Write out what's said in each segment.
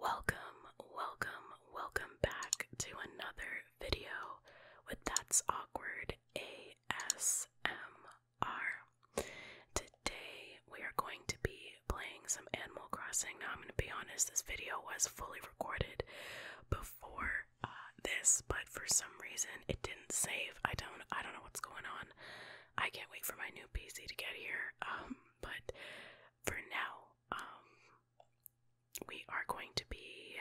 Welcome, welcome, welcome back to another video with That's Awkward ASMR. Today we are going to be playing some Animal Crossing. Now, I'm going to be honest, this video was fully recorded before uh, this, but for some reason it didn't save. I don't I don't know what's going on. I can't wait for my new PC to get here. Um, but for now, um, we are going to be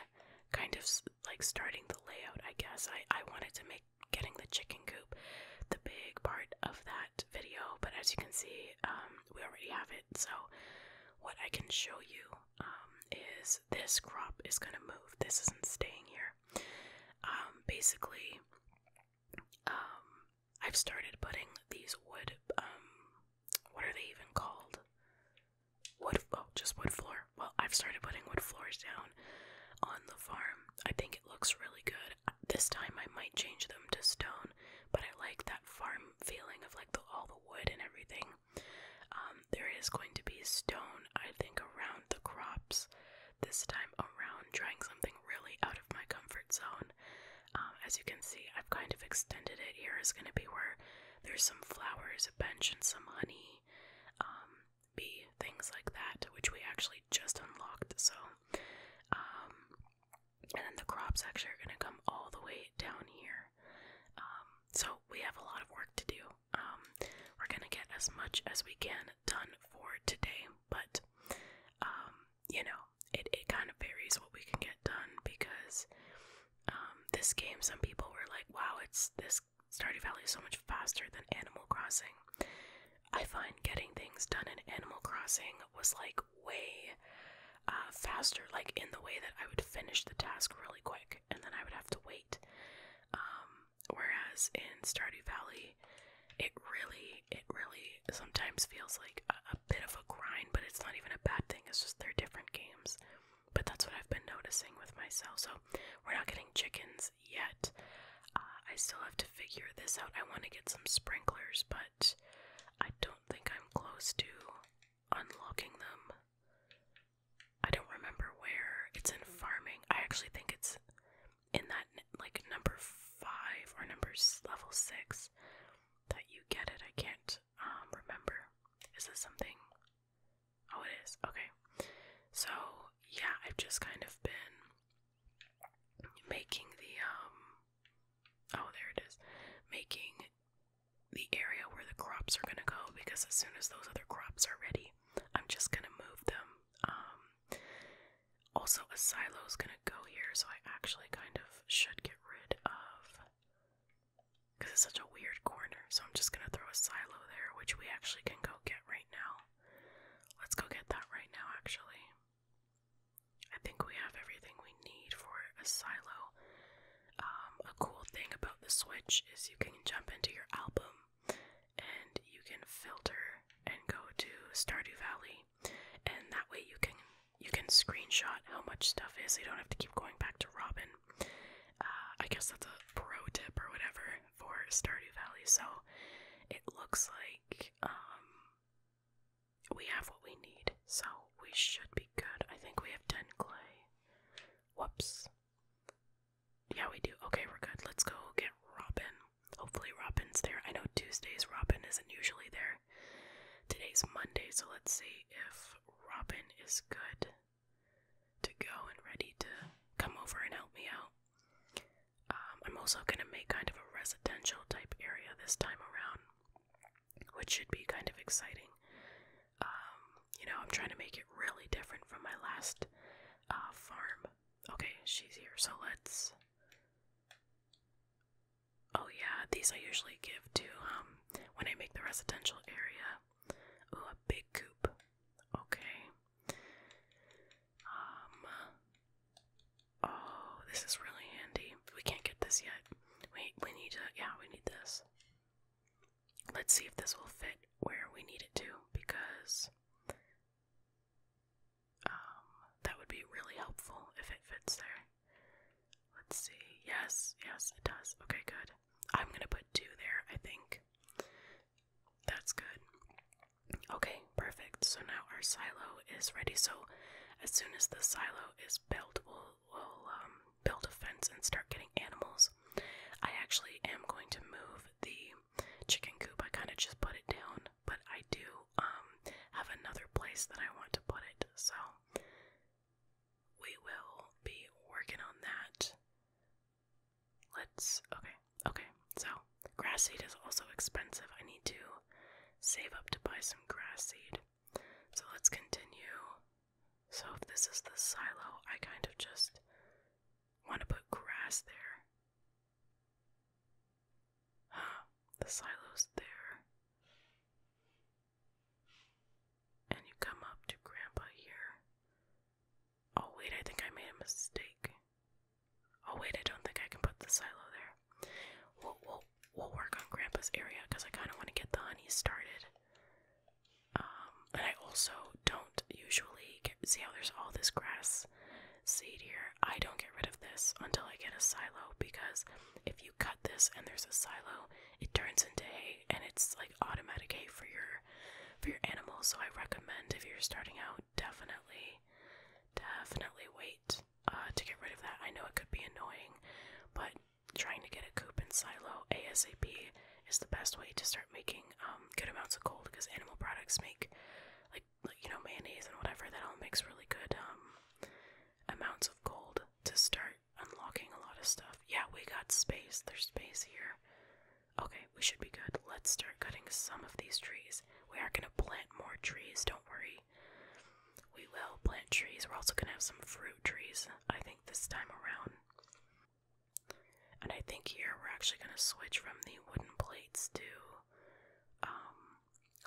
kind of like starting the layout. I guess I I wanted to make getting the chicken coop the big part of that video, but as you can see, um, we already have it. So what I can show you um, is this crop is going to move. This isn't staying here. Um, basically, um, I've started putting these wood, what are they even called? Wood, oh, just wood floor. Well, I've started putting wood floors down on the farm. I think it looks really good. This time I might change them to stone, but I like that farm feeling of like the, all the wood and everything um, there is going to be stone, I think, around the crops this time around, trying something really out of my comfort zone. Um, as you can see, I've kind of extended it. Here is going to be where there's some flowers, a bench, and some honey, um, things like that, which we actually just unlocked. So, um, and then the crops actually are going to come all the way down here. so we have a lot of work to do um, we're gonna get as much as we can done for today, but um, you know, it, it kind of varies what we can get done because um, this game, some people were like, wow, it's this Stardew Valley is so much faster than Animal Crossing. I find getting things done in Animal Crossing was like way uh, faster, like in the way that I would finish the task really quick and then I would have to wait um, whereas in Stardew Valley, it really, it really sometimes feels like a, bit of a grind, but it's not even a bad thing. It's just they're different games. But that's what I've been noticing with myself. So we're not getting chickens yet. Uh, I still have to figure this out. I want to get some sprinklers, but I don't think I'm close to unlocking them. I don't remember where. It's in farming. I actually think it's in that like number five or numbers level six that you get it. I can't um, remember. Is this something? Oh, it is. Okay. So yeah, I've just kind of been making the um. Oh, there it is. Making the area where the crops are gonna go because as soon as those other crops are ready, I'm just gonna move them. Um, also, a silo is gonna go here, so I actually kind of should get rid of because it's such a weird corner. So I'm just gonna throw a silo there, which we actually can go get right now. Let's go get that right now, actually. I think we have everything we need for a silo. Um, a cool thing about the Switch is you can jump into your album and you can filter and go to Stardew Valley, and that way you can you can screenshot how much stuff is. So you don't have to keep going back to Robin. Uh, I guess that's a pro tip or whatever for Stardew Valley. So it looks like um, we have what we need, so we should be good. I think we have ten clay. Whoops. Yeah, we do. Okay, we're good. Let's go get Robin. Hopefully, Robin's there. I know Tuesdays Robin isn't usually there. Today's Monday, so let's see if Robin is good to go and ready to come over and help me out. Um, I'm also going to make kind of a residential type area this time around, which should be kind of exciting. Um, you know, I'm trying to make it really different from my last uh, farm. Okay, she's here, so let's. Oh, yeah, these I usually give to um, when I make the residential area. Oh, a big coop. Okay. Um. Oh, this is really handy. We can't get this yet. Wait, we need to. Yeah, we need this. Let's see if this will fit where we need it to because um, that would be really helpful if it fits there. Let's see. Yes, yes, it does. Okay, good. I'm going to put two there, I think. That's good. Okay, perfect. So now our silo is ready. So as soon as the silo is built, we'll, um, build a fence and start getting animals. I actually am going to move the chicken coop. I kind of just put it down, but I do um have another place that I want to put it. So we will be working on that. Let's okay. Okay. So, grass seed is also expensive. I need to save up to buy some grass seed. So, let's continue so if this is the silo, I kind of just want to put grass there. Huh, the silo's there. And you come up to Grandpa here. Oh, wait, I think I made a mistake. Oh, wait, I don't think I can put the silo there. We'll, we'll, we'll work on Grandpa's area because I kind of want to get the honey started and um, I also don't usually see how there's all this grass seed here. I don't get rid of this until I get a silo because if you cut this and there's a silo, it turns into hay and it's like automatic hay for your for your animals. So I recommend if you're starting out, definitely, definitely wait uh, to get rid of that. I know it could be annoying, but trying to get a coop and silo ASAP is the best way to start making um, good amounts of gold because animal products make like, you know mayonnaise and whatever that all makes really good um, amounts of gold to start unlocking a lot of stuff. Yeah, we got space. There's space here. Okay, we should be good. Let's start cutting some of these trees. We are going to plant more trees, don't worry. We will plant trees. We're also going to have some fruit trees. I think this time around. And I think here we're actually going to switch from the wooden plates to um,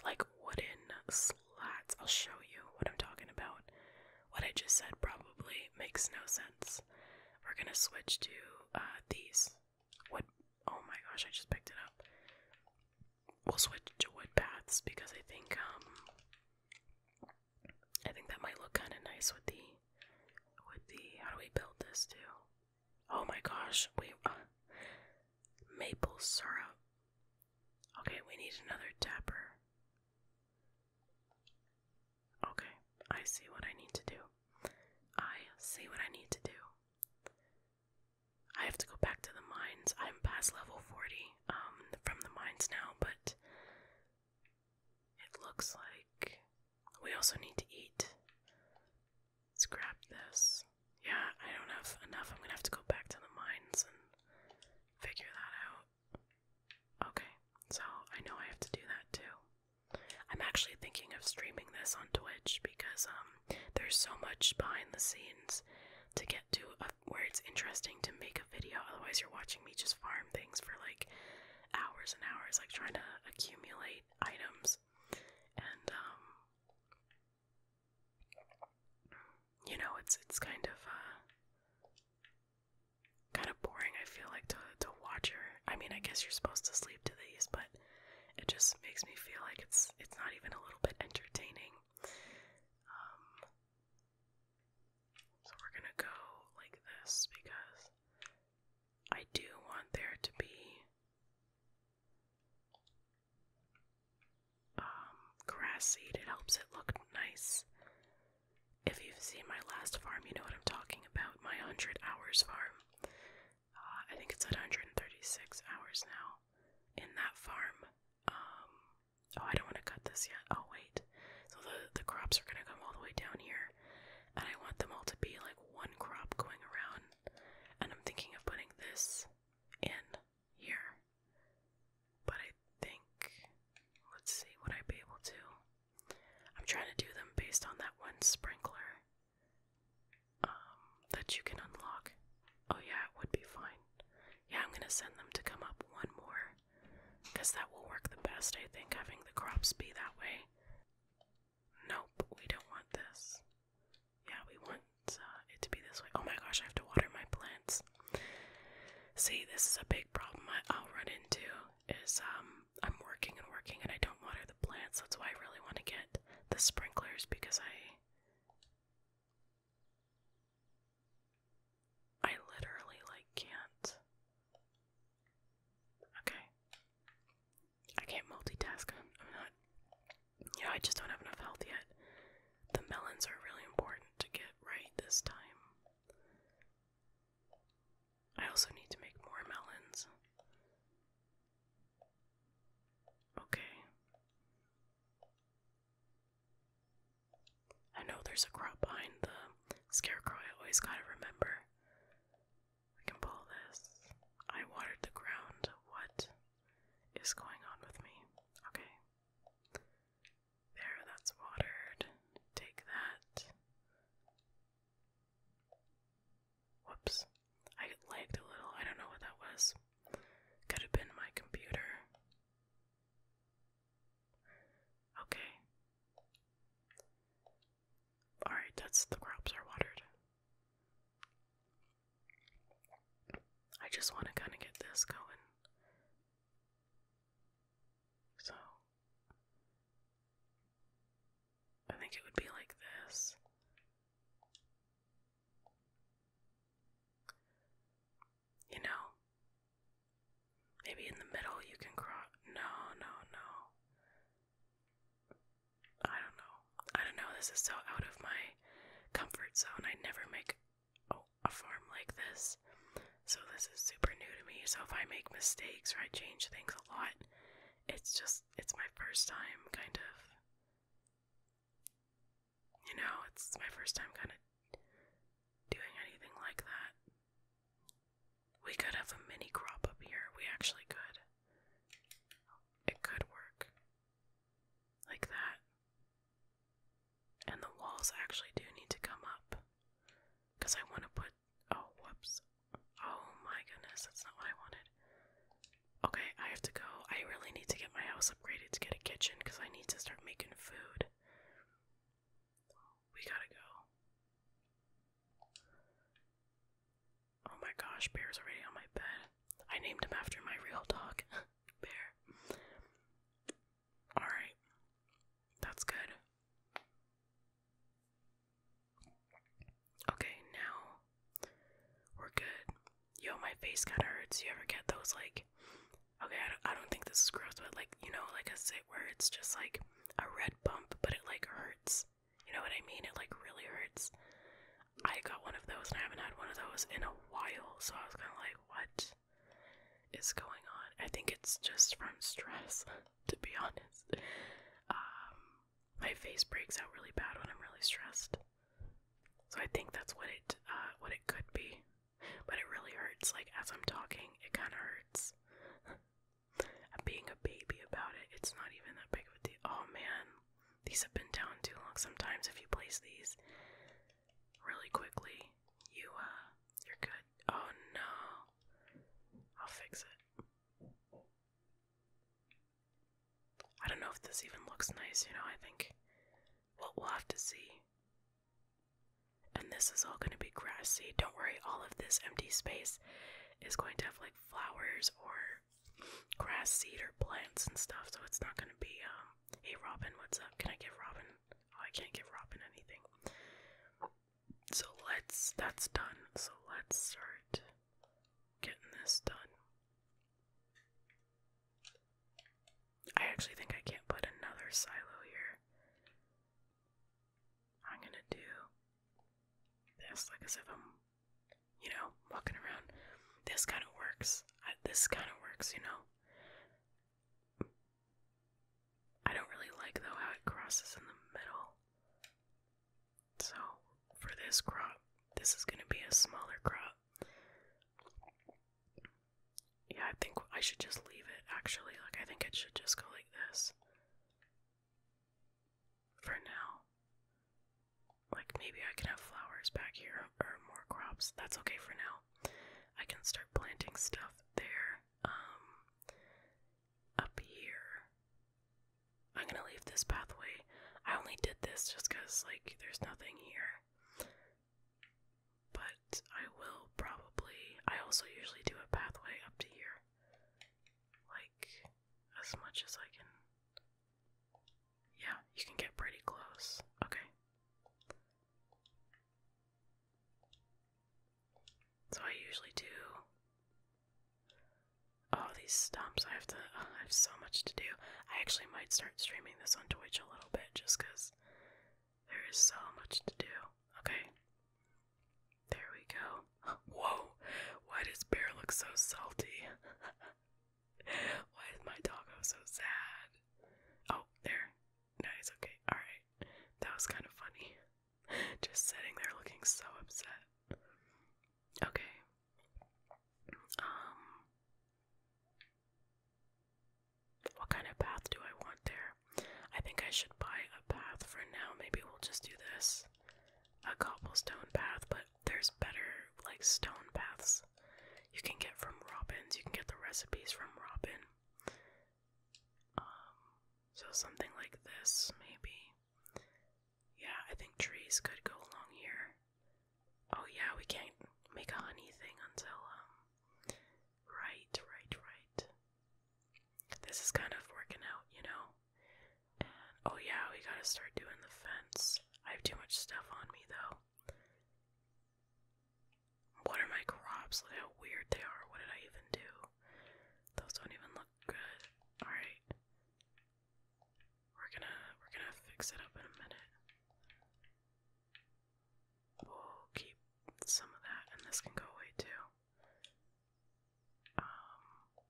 like wooden slats. I'll show you what I'm talking about. What I just said probably makes no sense. We're going to switch to uh, these. What? Oh my gosh, I just picked it up. We'll switch to wood paths because I think um I think that might look kind of nice with the, with the, how do we build this too? Oh my gosh, we, uh, maple syrup. Okay, we need another tapper. Okay, I see what I need to do. I see what I need to do. I have to go back to the mines. I'm past level 40. Um, from the mines now, but it looks like we also need to eat. Scrap this. Yeah, I don't have enough. I'm gonna have to go back to the mines and figure that out. Okay, so I know I have to do that too. I'm actually thinking of streaming this on Twitch because um, there's so much behind the scenes to get to where it's interesting to make a video. Otherwise, you're watching me just farm things for like hours and hours, like trying to accumulate items. And um, you know, it's it's kind of uh, kind of boring. I feel like to to watch her. I mean, I guess you're supposed to sleep to these, but it just makes me feel like it's it's not even a little bit entertaining. Um, so we're gonna go like this because I do want there to be um, grass seed. It helps it look nice. If you've seen my last farm, you know what I'm talking about. My 100 hours farm. Uh, I think it's at 136 hours now. In that farm, um, Oh, I don't want to cut this yet. I'll oh, wait. So the the crops are gonna come all the way down here, and I want them all to be like one crop going around. And I'm thinking of putting this in here, but I think let's see what I would be able to. I'm trying to do them based on that one sprinkler um, that you can unlock. Oh yeah, it would be fine. Yeah, I'm gonna send them to come up one more because that will work the best, I think, having the crops be that way. Nope, we don't want this. Yeah, we want uh, it to be this way. Oh my gosh, I have to water my plants. See, this is a big problem I, I'll run into. Is um, I'm working and working and I don't water the plants. That's why I really want to get the sprinklers because I I literally like can't. Okay. I can't multitask. I'm, not. You know, I just don't have enough health yet. The melons are really important to get right this time. I also need to make more melons. Okay. I know there's a crop behind the scarecrow, I always gotta remember. I can pull this. I watered the ground. What is going on with me? Okay. There, that's watered. Take that. Whoops. I lagged a little. I don't know what that was. Could have been my computer. Okay. Alright, that's the crops are watered. I just want to kind of get this going. So, I think it would be like this you know? Maybe in the middle you can cross. No, no, no. I don't know. I don't know. This is so out of my comfort zone. I never make a farm like this. So this is super new to me. So if I make mistakes or I change things a lot, it's just it's my first time kind of you know, it's my first time kind of doing anything like that. We could have a mini crop up here. We actually could. It could work. Like that. And the walls actually do need to come up. Because I want to put. Oh, whoops. Oh my goodness, that's not what I wanted. Okay, I have to go. I really need to get my house upgraded to get a kitchen because I need to start making food. We gotta go. Oh my gosh, Bear's already on my bed. I named him after my real dog, Bear. Alright, that's good. Okay, now we're good yo, my face kind of hurts. You ever get those like, okay, I don't, I don't think this is gross, but like, you know, like a sit where it's just like a red bump, but it like hurts. You know what I mean? It like really hurts. I got one of those and I haven't had one of those in a while, so I was kind of like, what is going on? I think it's just from stress, to be honest. Um, my face breaks out really bad when I'm really stressed. So I think that's what it uh, what it could be. But it really hurts, like, as I'm talking, it kind of hurts. Being a baby about it, it's not even that big of a deal. Oh man, these have been down too long. Sometimes if you place these really quickly, you, uh, you're good. Oh no. I'll fix it. I don't know if this even looks nice, you know, I think what we'll have to see. And this is all going to be grassy. Don't worry, all of this empty space is going to have like flowers or grass seed or plants and stuff, so it's not going to be, um, hey Robin, what's up? Can I give Robin? Oh, I can't give Robin anything. So let's, that's done. So let's start getting this done. I actually think I can't put another silo here. I'm gonna do this, like as if I'm, you know, walking around. This kind of works. this kind of works, you know. I don't really like though how it crosses in the middle. So for this crop, this is gonna be a smaller crop. Yeah, I think I should just leave it actually. Like, I think it should just go like this. For now. Like, maybe I can have flowers back here or more crops. That's okay for now. I can start planting stuff there. Um, up here. I'm gonna leave this pathway. I only did this just because, like, there's nothing here. But I will probably. I also usually do a pathway up to here. Like, as much as I can. Yeah, you can get pretty close. Okay. So I usually do. all these stumps! I have to. I have so much to do. I actually might start streaming this on Twitch a little bit just because there is so much to do. Okay. There we go. Whoa! Why does Bear look so salty? Why is my doggo so sad? Oh, there. Nice, okay. Alright. That was kind of funny. Just sitting there looking so upset. Okay, um, what kind of path do I want there? I think I should buy a path for now. Maybe we'll just do this a cobblestone path, but there's better, like, stone paths you can get from Robin's. You can get the recipes from Robin. Um, so something like this, maybe. Yeah, I think trees could go along here. Oh yeah, we can't make a honey thing until um right, right, right. This is kind of working out, you know. oh yeah, we gotta start doing the fence. I have too much stuff on me though. What are my crops? Look how weird they are. What did I even do? Those don't even look good. Alright. We're gonna we're gonna fix it up in a minute. We'll keep some of that, and this can go away too. Um,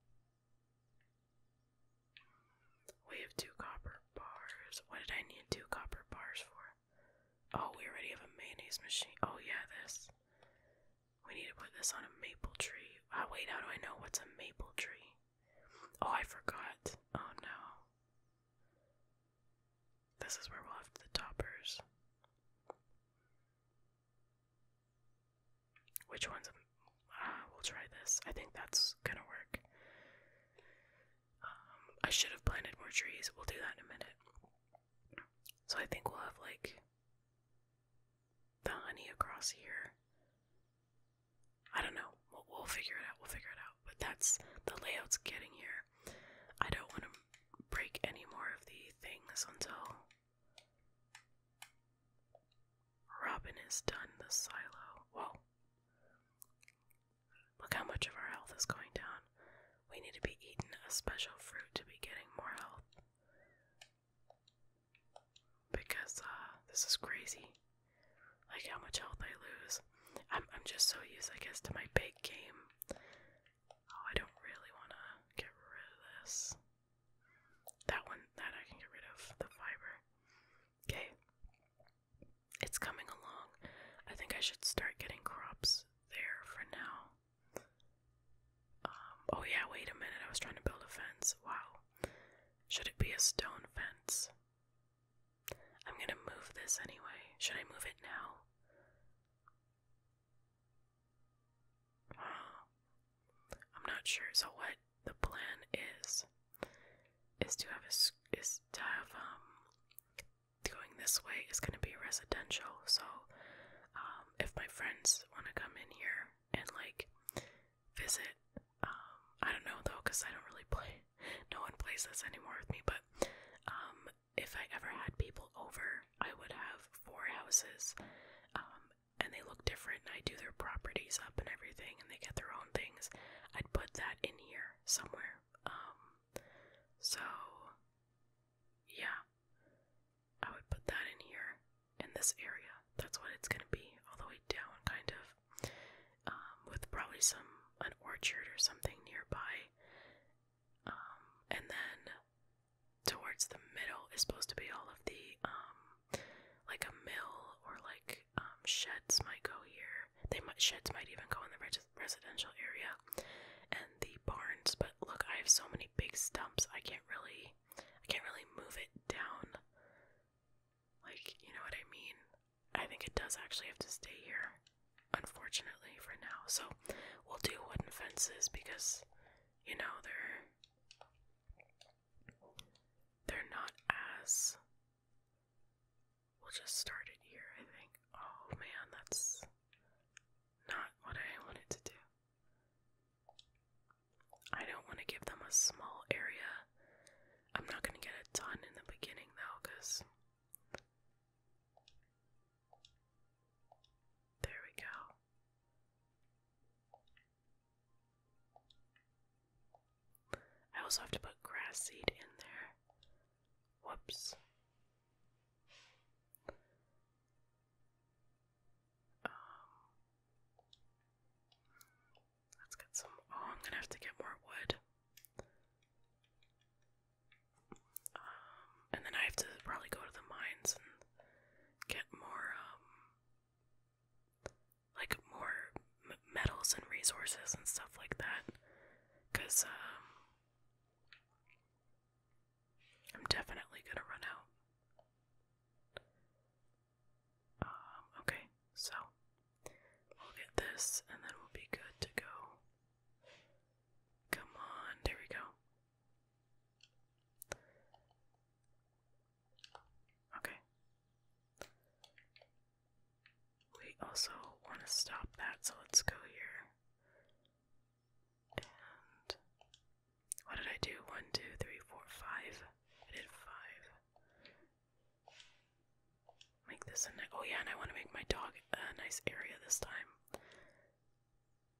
we have two copper bars. What did I need two copper bars for? Oh, we already have a mayonnaise machine. Oh yeah, this. We need to put this on a maple tree. Ah, wait, how do I know what's a maple tree? Oh, I forgot. Oh no. This is where we'll have the toppers. Which one's. Uh, we'll try this. I think that's gonna work. Um, I should have planted more trees. We'll do that in a minute. So I think we'll have like the honey across here I don't know. We'll, figure it out. We'll figure it out. But that's the layout's getting here. I don't want to break any more of the things until Robin is done the silo. Well, look how much of our health is going down. We need to be eating a special fruit to be getting more health. Because, uh, this is crazy like how much health I lose. I'm I'm just so used, I guess, to my big game. Oh, I don't really want to get rid of this. That one, that I can get rid of the fiber. Okay, it's coming along. I think I should start getting crops there for now. Um, oh yeah, wait a minute. I was trying to build a fence. Wow. Should it be a stone fence? I'm gonna move this anyway. Should I move it now? I'm not sure. So what the plan is is to have is to have um going this way is gonna be residential. So um, if my friends want to come in here and like visit. Um, I don't know though, cause I don't really play. No one plays this anymore with me. But um, if I ever had people over, I would have four houses, um, and they look different. I do their properties up and everything, and they get their own things. I'd put that in here somewhere. so yeah, I would put that in here in this area. That's what it's gonna be all the way down, kind of. Um, with probably some an orchard or something nearby. Um, and then towards the middle is supposed to be all of the um, like a mill or like sheds might go here. They might sheds might even go in the residential area, and the barns. But look, I have so many big stumps. I can't really, I can't really move it down like, you know what I mean? I think it does actually have to stay here, unfortunately, for now. So we'll do wooden fences because, you know, they're they're not as we'll just start it here, I think. Oh man, that's not what I wanted to do. I don't want to give them a small area. I'm not going to get a ton in the beginning though, because. There we go. I also have to put grass seed in there. Whoops. Um, Let's get some. Oh, I'm gonna have to get more wood. Um, and then I have to probably go to the mines and get more, um, like more metals and resources and stuff like that. Cause, um, I'm definitely gonna run out. Um, okay, so we'll get this and then we'll be good to go. Come on, there we go. Okay. We also want to stop that, so let's go here. And what did I do? One, two, three, four, five. I did five. Make this a oh yeah, and I want to make my dog a nice area this time.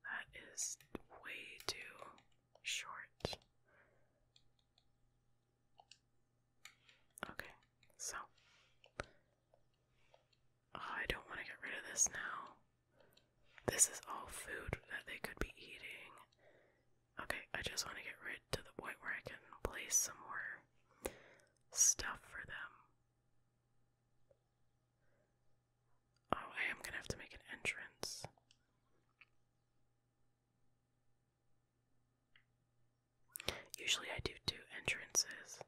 That is way too short. Okay, so oh, I don't want to get rid of this now. This is all food that they could be eating. Okay, I just want to get rid to the point where I can place some more stuff for them. Oh, I am gonna have to make an entrance. Usually I do two entrances,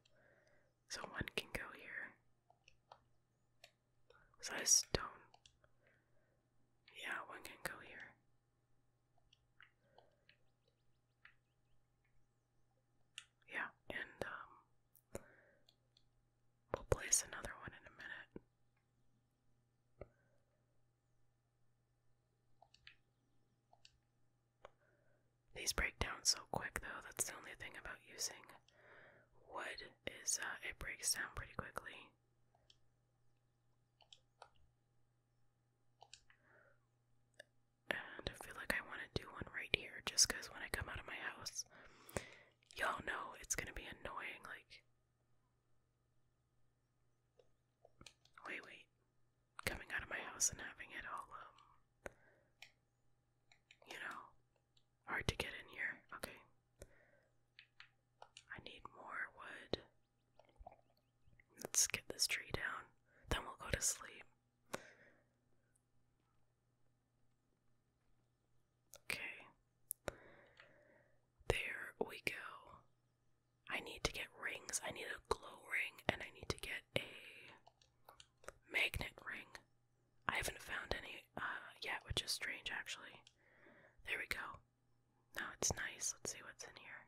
so one can go here. So that is stone. Yeah, one can go here. Yeah, and um, we'll place another one in a minute. These break down so quick though, that's the only thing about using wood is uh, it breaks down pretty quickly. And I feel like I want to do one right here just because when I come out of my house, y'all know it's going to be annoying. Like, wait, wait. Coming out of my house and having it all, um, you know, hard to get in here. Okay. I need more wood. Let's get this tree down, then we'll go to sleep. Okay. There we go. I need to get rings. I need a glow ring and I need to get a magnet ring. I haven't found any uh yet, which is strange actually. There we go. No, it's nice. Let's see what's in here.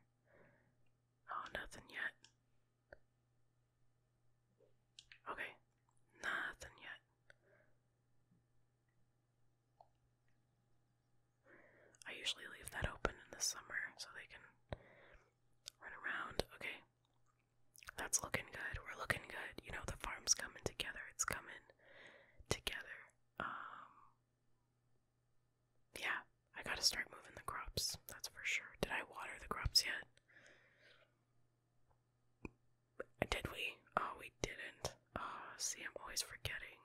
Oh, nothing yet. Okay, nothing yet. I usually leave that open in the summer so they can run around. Okay, that's looking good. We're looking good. You know, the farm's coming together. It's coming together. Um, yeah, I gotta start moving the crops, that's for sure. Did I water the crops yet? Did we? Oh, we didn't. Oh, see, I'm always forgetting.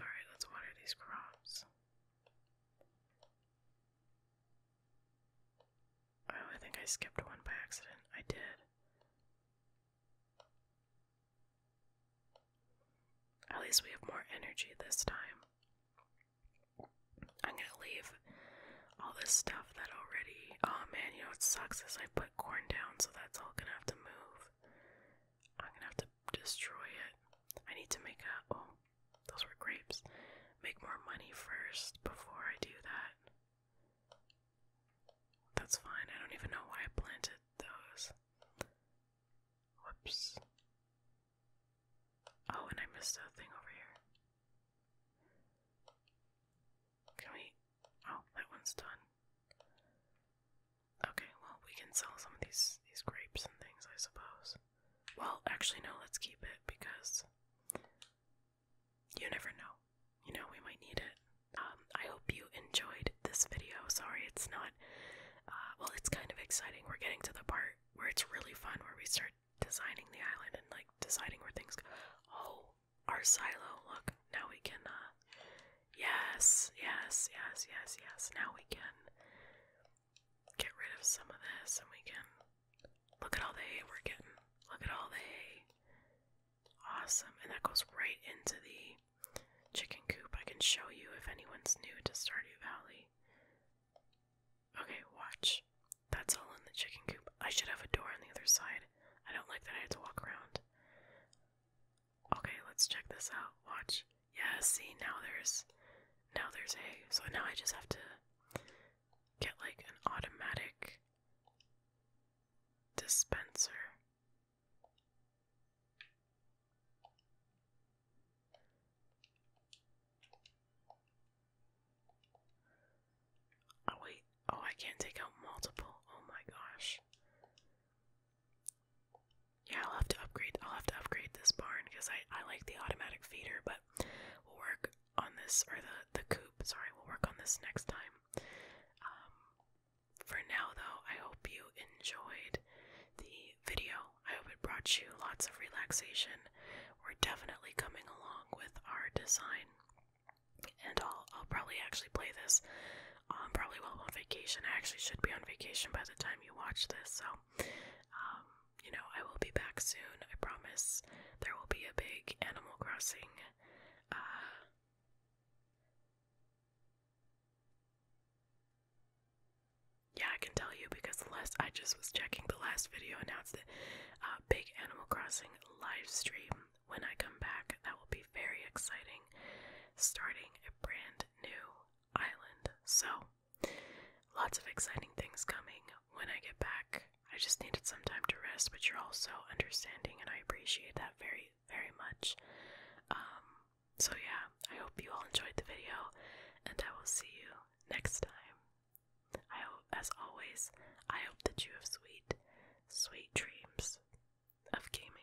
Alright, let's water these crops. Oh, I think I skipped one by accident. I did. At least we have more energy this time. I'm gonna leave all this stuff that already. Oh man, you know what sucks is I put corn down, so that's all gonna have to move. I'm gonna have to destroy it. I need to make a. Oh, those were grapes. Make more money first before I do that. That's fine. I don't even know why I planted those. Whoops. Oh, and I missed a thing over here. Can we? Oh, that one's done. Okay, well, we can sell some of these these grapes and things, I suppose. Well, actually, no. Let's keep it because you never know. You know, we might need it. Um, I hope you enjoyed this video. Sorry, it's not, uh, well, it's kind of exciting. We're getting to the part where it's really fun, where we start designing the island and like deciding where things go. Oh, our silo. Look, now we can, uh, yes, yes, yes, yes, yes. Now we can get rid of some of this and we can Look at all the hay we're getting. Look at all the hay. Awesome. And that goes right into the chicken coop. I can show you if anyone's new to Stardew Valley. Okay, watch. That's all in the chicken coop. I should have a door on the other side. I don't like that I had to walk around. Okay, let's check this out. Watch. Yeah, see, now there's now there's hay. So now I just have to get like an automatic dispenser Oh wait, oh I can't take out multiple. Oh my gosh. Yeah, I'll have to upgrade. I'll have to upgrade this barn because I I like the automatic feeder, but will work on this, or the, the coop. sorry, we'll work on this next time. Um, for now, though, I hope you enjoyed the video. I hope it brought you lots of relaxation. We're definitely coming along with our design. And I'll, I'll probably actually play this I'm um, probably while I'm on vacation. I actually should be on vacation by the time you watch this, so um, you know, I will be back soon. I promise there will be a big Animal Crossing uh, yeah, I can tell you because last I just was checking the last video announced now the uh, big Animal Crossing live stream. When I come back, that will be very exciting. Starting a brand new island. So, lots of exciting things coming when I get back. I just needed some time to rest, but you're also understanding, and I appreciate that very, very much. Um, so, yeah, I hope you all enjoyed the video, and I will see you next time. I hope, as always, I hope that you have sweet, sweet dreams of gaming.